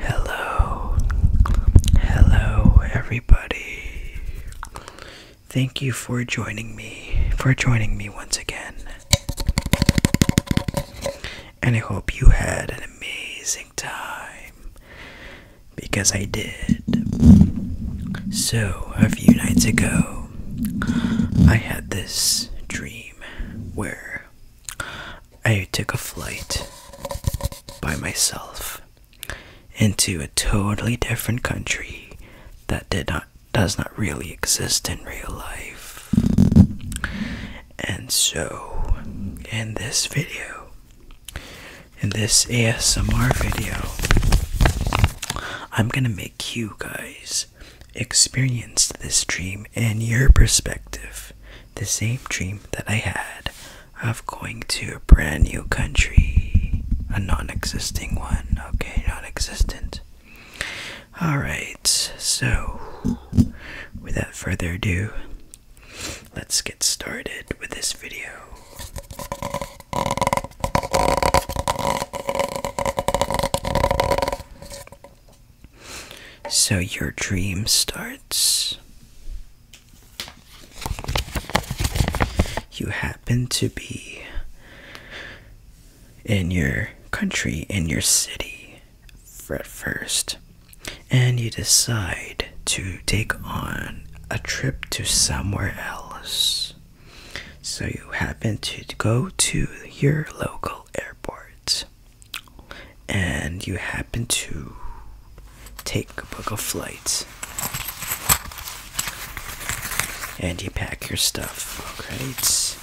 Hello, hello, everybody. Thank you for joining me, for joining me once again. And I hope you had an amazing time because I did. So, a few nights ago, I had this dream where I took a flight by myself into a totally different country that did not does not really exist in real life. And so, in this video, in this ASMR video, I'm gonna make you guys experienced this dream in your perspective, the same dream that I had of going to a brand new country, a non existing one, okay, non existent. Alright, so without further ado, let's get started with this video. So your dream starts. You happen to be in your country, in your city, at first, and you decide to take on a trip to somewhere else. So you happen to go to your local airport and you happen to take a book of flights, and you pack your stuff alright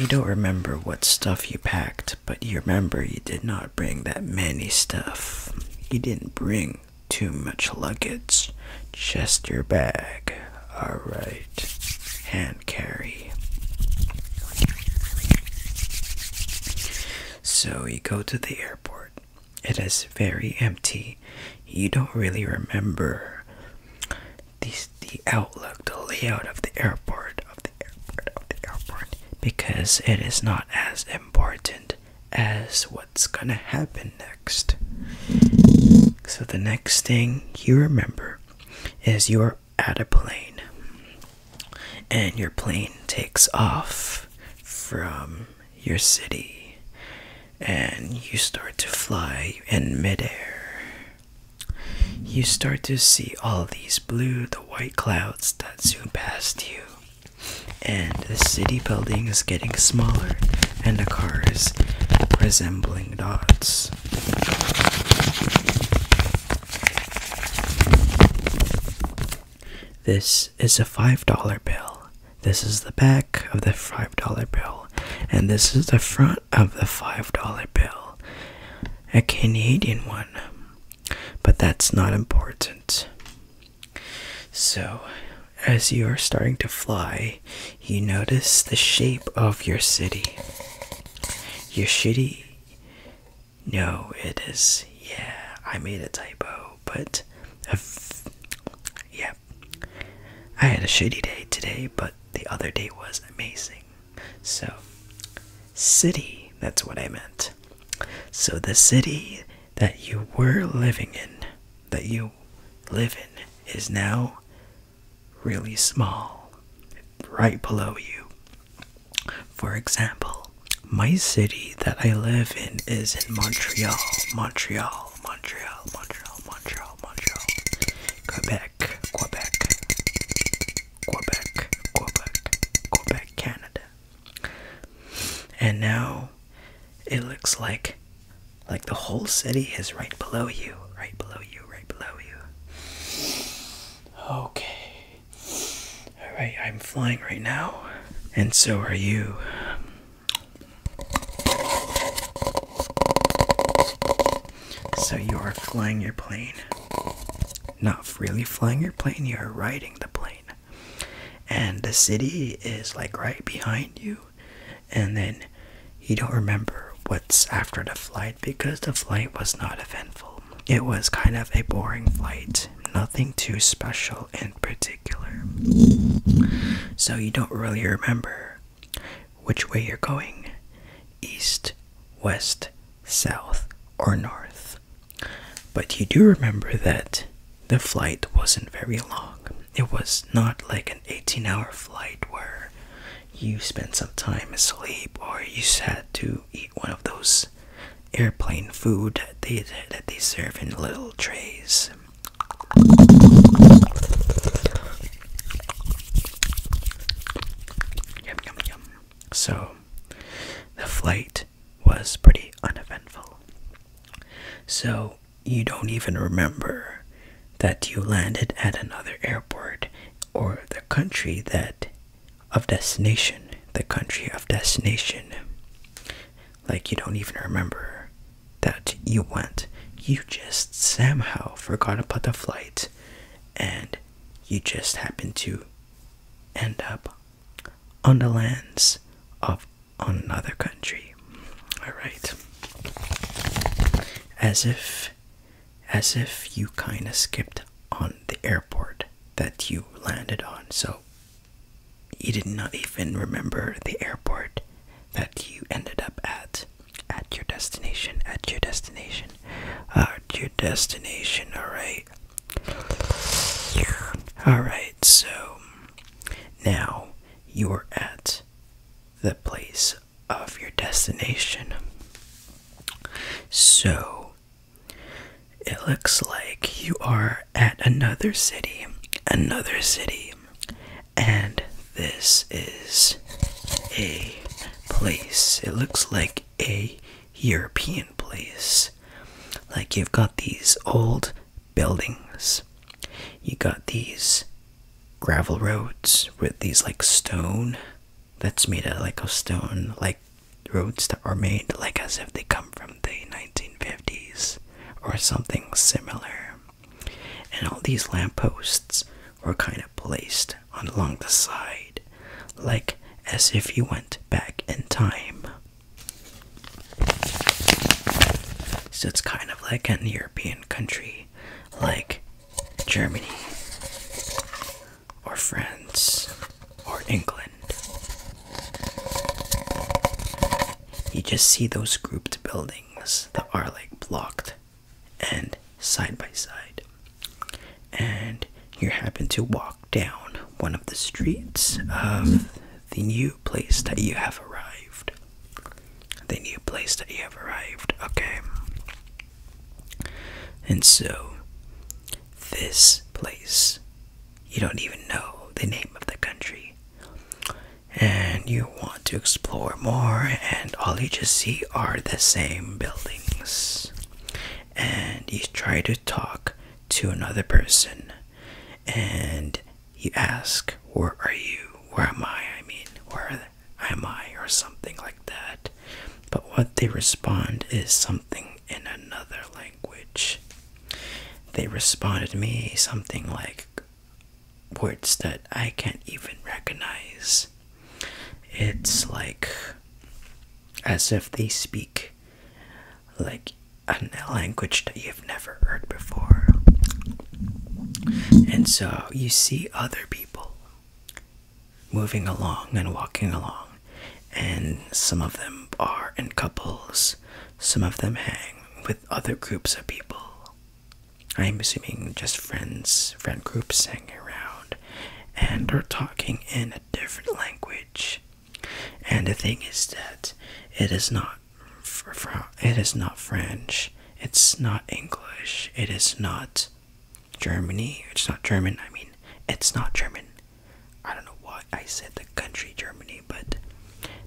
you don't remember what stuff you packed but you remember you did not bring that many stuff you didn't bring too much luggage just your bag alright and carry. So you go to the airport. It is very empty. You don't really remember the, the outlook, the layout of the airport, of the airport, of the airport, because it is not as important as what's gonna happen next. So the next thing you remember is you are at a plane and your plane takes off from your city and you start to fly in midair you start to see all these blue the white clouds that zoom past you and the city building is getting smaller and the cars resembling dots this is a $5 bill. This is the back of the $5 bill. And this is the front of the $5 bill. A Canadian one. But that's not important. So, as you are starting to fly, you notice the shape of your city. Your city no, it is. Yeah, I made a typo, but. i yeah. I had a shitty day today, but the other day was amazing. So, city, that's what I meant. So, the city that you were living in, that you live in, is now really small, right below you. For example, my city that I live in is in Montreal, Montreal, Montreal, Montreal, Montreal, Montreal, Quebec, Quebec, Quebec, Quebec, Quebec, Canada. And now it looks like like the whole city is right below you, right below you, right below you. Okay. Alright, I'm flying right now, and so are you. So you are flying your plane. Not really flying your plane, you are riding the plane. And the city is like right behind you, and then you don't remember what's after the flight because the flight was not eventful it was kind of a boring flight, nothing too special in particular. So you don't really remember which way you're going east, west, south, or north. But you do remember that the flight wasn't very long. It was not like an 18 hour flight where you spent some time asleep or you had to eat one of those airplane food that they, that they serve in little trays. Yum, yum, yum. So, the flight was pretty uneventful. So, you don't even remember that you landed at another airport or the country that of destination, the country of destination. Like you don't even remember that you went. You just somehow forgot about the flight and you just happen to end up on the lands of another country. Alright. As if as if you kind of skipped on the airport that you landed on. So you did not even remember the airport that you ended up at, at your destination, at your destination, at your destination, alright? Alright, so now you're at the place of your destination. So it looks like you are at another city, another city, and this is a place. It looks like a European place. Like you've got these old buildings, you got these gravel roads with these like stone that's made out of like a stone, like roads that are made like as if they come from the 1950s or something similar. And all these lampposts were kind of placed on along the side, like as if you went back in time. So it's kind of like an European country, like Germany or France or England. You just see those grouped buildings that are like blocked and side by side. And you happen to walk down one of the streets of the new place that you have arrived. The new place that you have arrived, okay. And so, this place, you don't even know the name of the country. And you want to explore more, and all you just see are the same buildings. And you try to talk to another person, and you ask, Where are you? Where am I? I mean, where am I? Or something like that. But what they respond is something language. They responded me something like words that I can't even recognize. It's like as if they speak like a language that you've never heard before. And so you see other people moving along and walking along, and some of them are in couples, some of them hang with other groups of people. I'm assuming just friends, friend groups hanging around and are talking in a different language. And the thing is that it is not it is not French, it's not English, it is not Germany, it's not German, I mean, it's not German. I don't know why I said the country Germany, but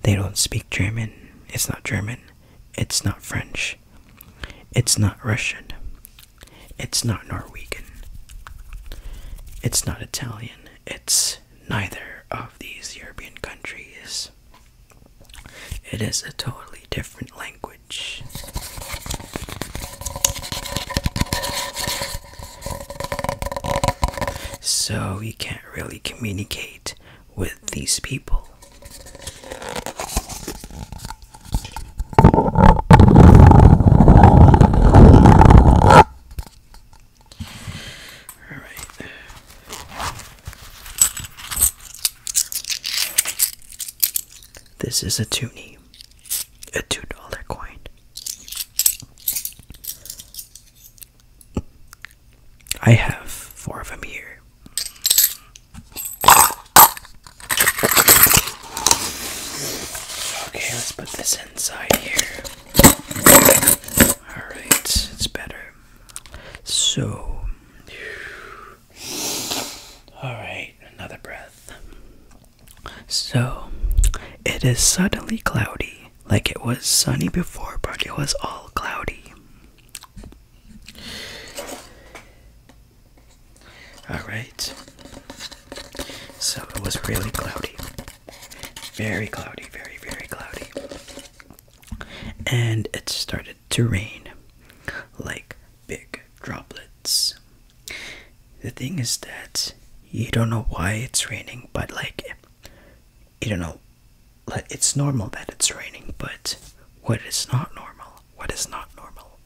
they don't speak German. It's not German. It's not French. It's not Russian. It's not Norwegian. It's not Italian. It's neither of these European countries. It is a totally different language. So you can't really communicate with these people. All right. This is a toonie a two dollar coin. I have four of them here. Okay, let's put this inside here. Alright, it's better. So, alright, another breath. So, it is suddenly cloudy, like it was sunny before, but it was all cloudy. Alright, so it was really cloudy. Very cloudy, very, very cloudy. And it started to rain like big droplets. The thing is that you don't know why it's raining, but like, you don't know, like, it's normal that it's raining, but what is not normal, what is not normal,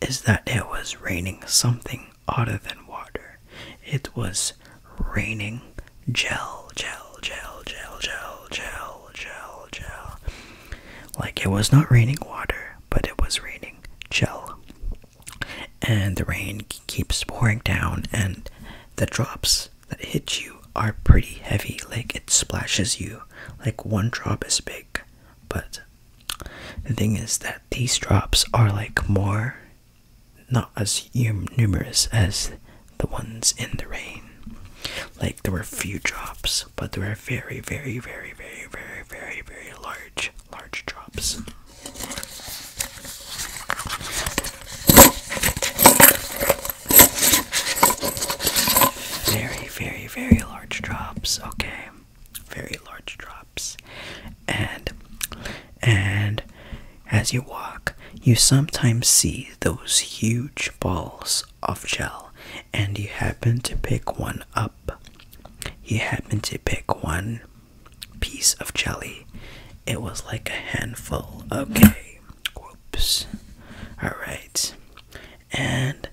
is that it was raining something other than water. It was raining gel, gel, gel, gel, gel, gel, gel, gel. Like, it was not raining water, but it was raining gel and the rain keeps pouring down and the drops that hit you are pretty heavy like it splashes you like one drop is big but the thing is that these drops are like more not as numerous as the ones in the rain like there were few drops but they were very very very very very very very large large drops. Very, very, very large drops, okay? Very large drops. And and as you walk, you sometimes see those huge balls of gel and you happen to pick one up. You happen to pick one piece of jelly. It was like a handful. Okay. Whoops. Alright. And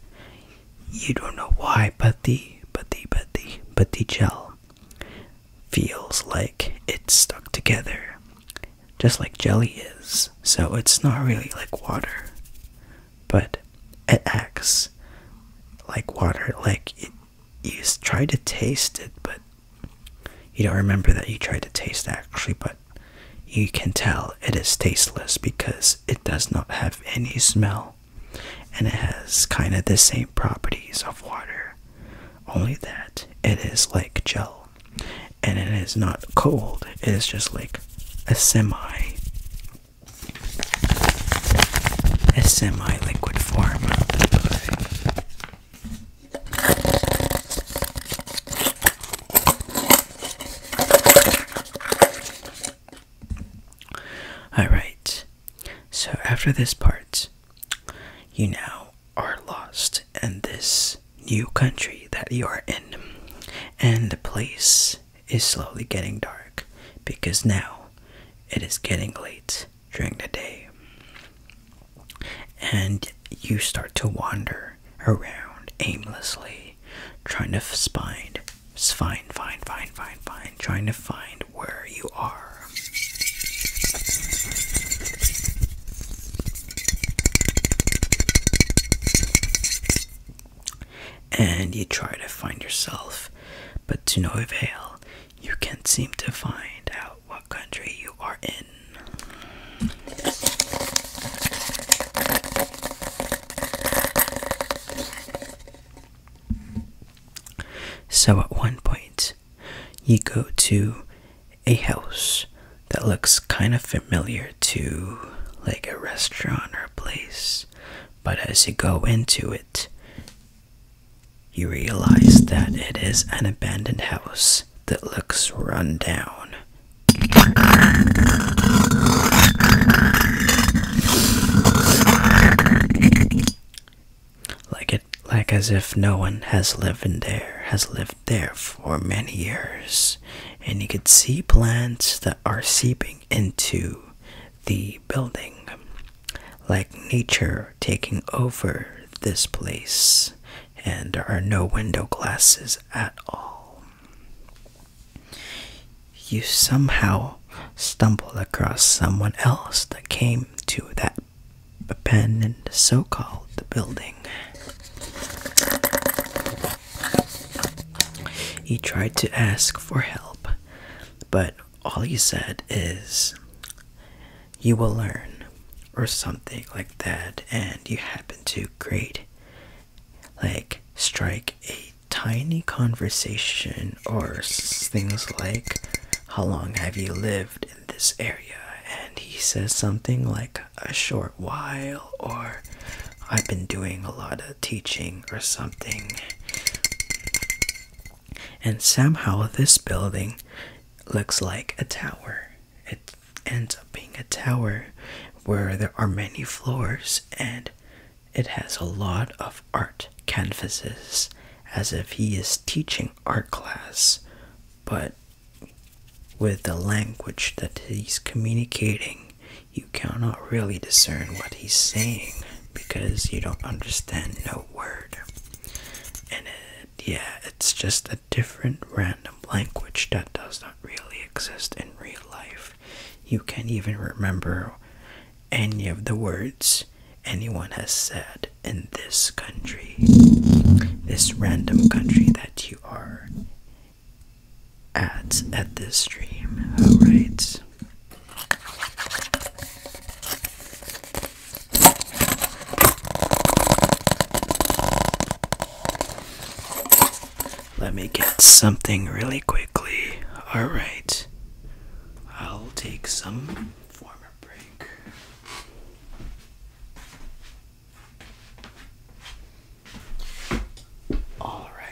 you don't know why, but the but the but the but the gel feels like it's stuck together. Just like jelly is. So it's not really like water. But it acts like water, like it you try to taste it, but you don't remember that you tried to taste actually, but you can tell it is tasteless because it does not have any smell and it has kind of the same properties of water, only that it is like gel and it is not cold, it is just like a semi a semi liquid form Alright, so after this part, you now are lost in this new country that you are in, and the place is slowly getting dark because now it is getting late during the day. And you start to wander around aimlessly, trying to find, find, find, find, find, find, trying to find where you are. And you try to find yourself, but to no avail. You can't seem to find out what country you are in. So at one point, you go to a house that looks kind of familiar to like a restaurant or a place, but as you go into it, you realize that it is an abandoned house that looks run down. Like it like as if no one has lived in there has lived there for many years and you could see plants that are seeping into the building like nature taking over this place, and there are no window glasses at all. You somehow stumble across someone else that came to that abandoned so called building. He tried to ask for help, but all he said is, You will learn, or something like that, and you happen to create, like, strike a tiny conversation or things like, How long have you lived in this area? And he says something like, A short while, or I've been doing a lot of teaching, or something. And somehow this building looks like a tower. It ends up being a tower where there are many floors and it has a lot of art canvases as if he is teaching art class, but with the language that he's communicating, you cannot really discern what he's saying because you don't understand no word. And yeah, it's just a different random language that does not really exist in real life. You can't even remember any of the words anyone has said in this country, this random country that you are at at this stream. Alright. Let me get something really quickly. Alright, I'll take some form break. All right.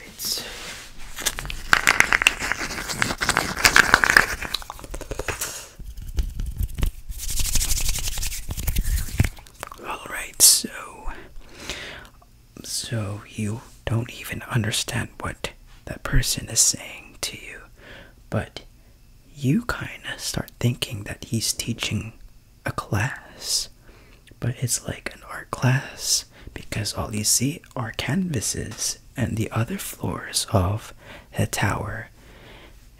Alright, so. So you don't even understand what that person is saying to you, but you kind of start thinking that he's teaching a class, but it's like an art class because all you see are canvases and the other floors of a tower,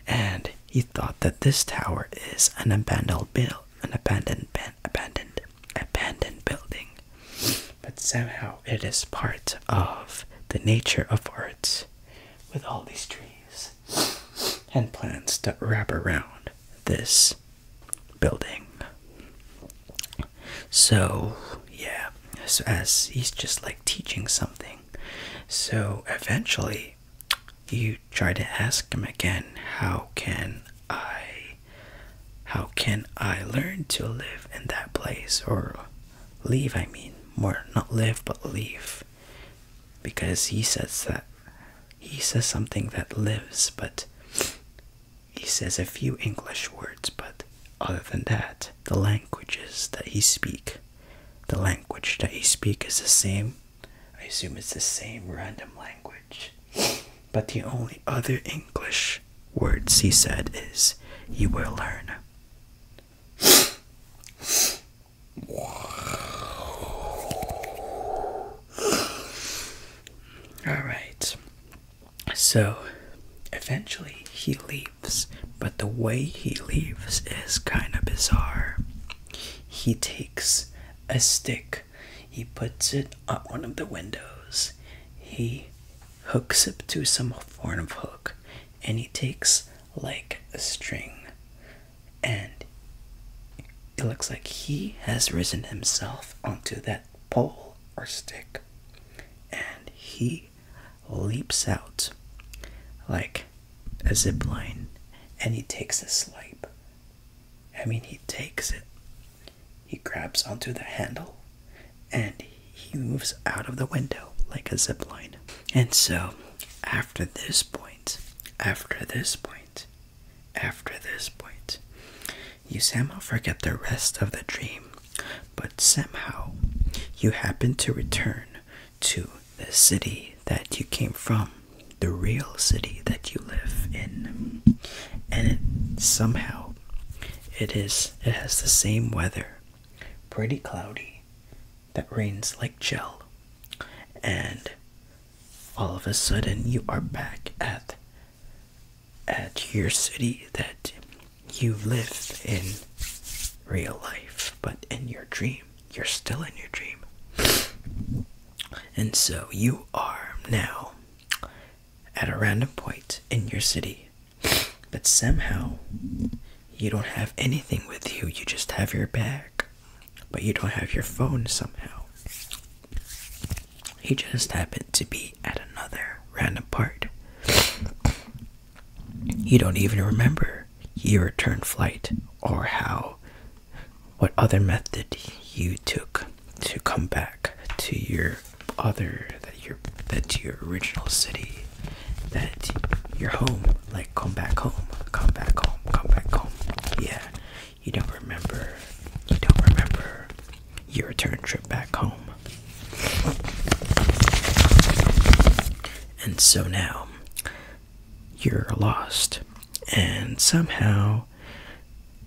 and he thought that this tower is an abandoned bill, an abandoned, abandoned, abandoned building. But somehow it is part of the nature of art, with all these trees and plants that wrap around this building. So yeah, so as he's just like teaching something so eventually, you try to ask him again, how can I how can I learn to live in that place or leave, I mean, more not live but leave. Because he says that he says something that lives, but he says a few English words, but other than that, the languages that he speak, the language that he speak is the same. I assume it's the same random language. But the only other English words he said is you will learn. All right. So, eventually he leave but the way he leaves is kind of bizarre. He takes a stick, he puts it up one of the windows, he hooks it to some form of hook, and he takes like a string, and it looks like he has risen himself onto that pole or stick, and he leaps out like a zipline, and he takes a swipe. I mean, he takes it. He grabs onto the handle and he moves out of the window like a zipline. And so, after this point, after this point, after this point, you somehow forget the rest of the dream, but somehow you happen to return to the city that you came from, the real city that you live in. And it, somehow it is it has the same weather. Pretty cloudy that rains like gel. And all of a sudden you are back at at your city that you live in real life, but in your dream, you're still in your dream. And so you are now at a random point in your city, but somehow you don't have anything with you, you just have your bag, but you don't have your phone somehow. You just happen to be at another random part. You don't even remember your return flight or how, what other method you took to come back to your other, that your, that your original city, that your home, like come back home, come back home, come back home. Yeah, you don't remember, you don't remember your return trip back home. And so now you're lost. And somehow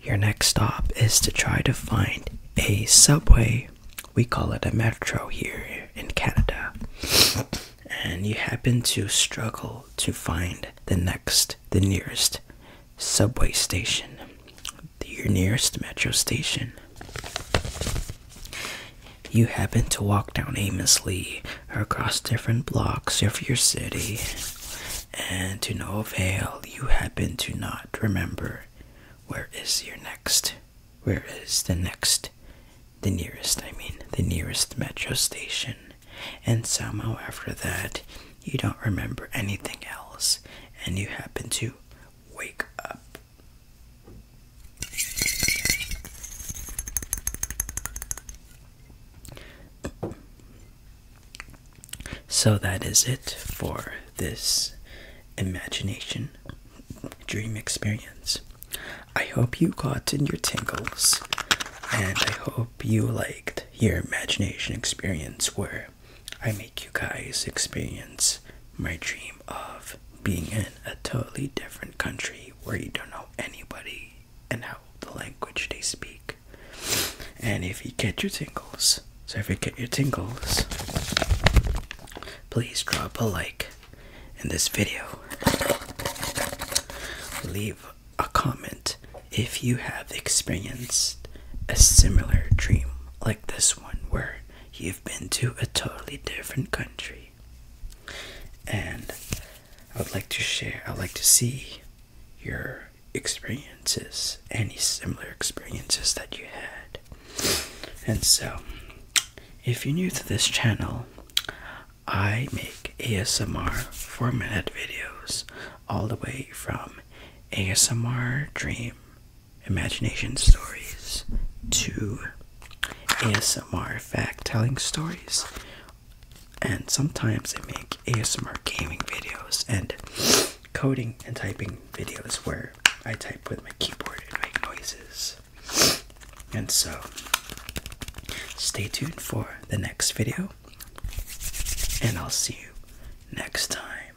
your next stop is to try to find a subway. We call it a metro here in Canada. And you happen to struggle to find the next, the nearest subway station, your nearest metro station. You happen to walk down aimlessly across different blocks of your city, and to no avail, you happen to not remember where is your next, where is the next, the nearest, I mean, the nearest metro station. And somehow, after that, you don't remember anything else, and you happen to wake up so that is it for this imagination dream experience. I hope you got in your tingles and I hope you liked your imagination experience where I make you guys experience my dream of being in a totally different country where you don't know anybody and how the language they speak. And if you get your tingles, so if you get your tingles, please drop a like in this video. Leave a comment if you have experienced a similar dream like this one where you've been to a totally different country and I would like to share. I would like to see your experiences, any similar experiences that you had. And so, if you're new to this channel, I make ASMR four minute videos all the way from ASMR dream imagination stories to ASMR fact telling stories, and sometimes I make ASMR gaming videos and coding and typing videos where I type with my keyboard and make noises. And so, stay tuned for the next video, and I'll see you next time.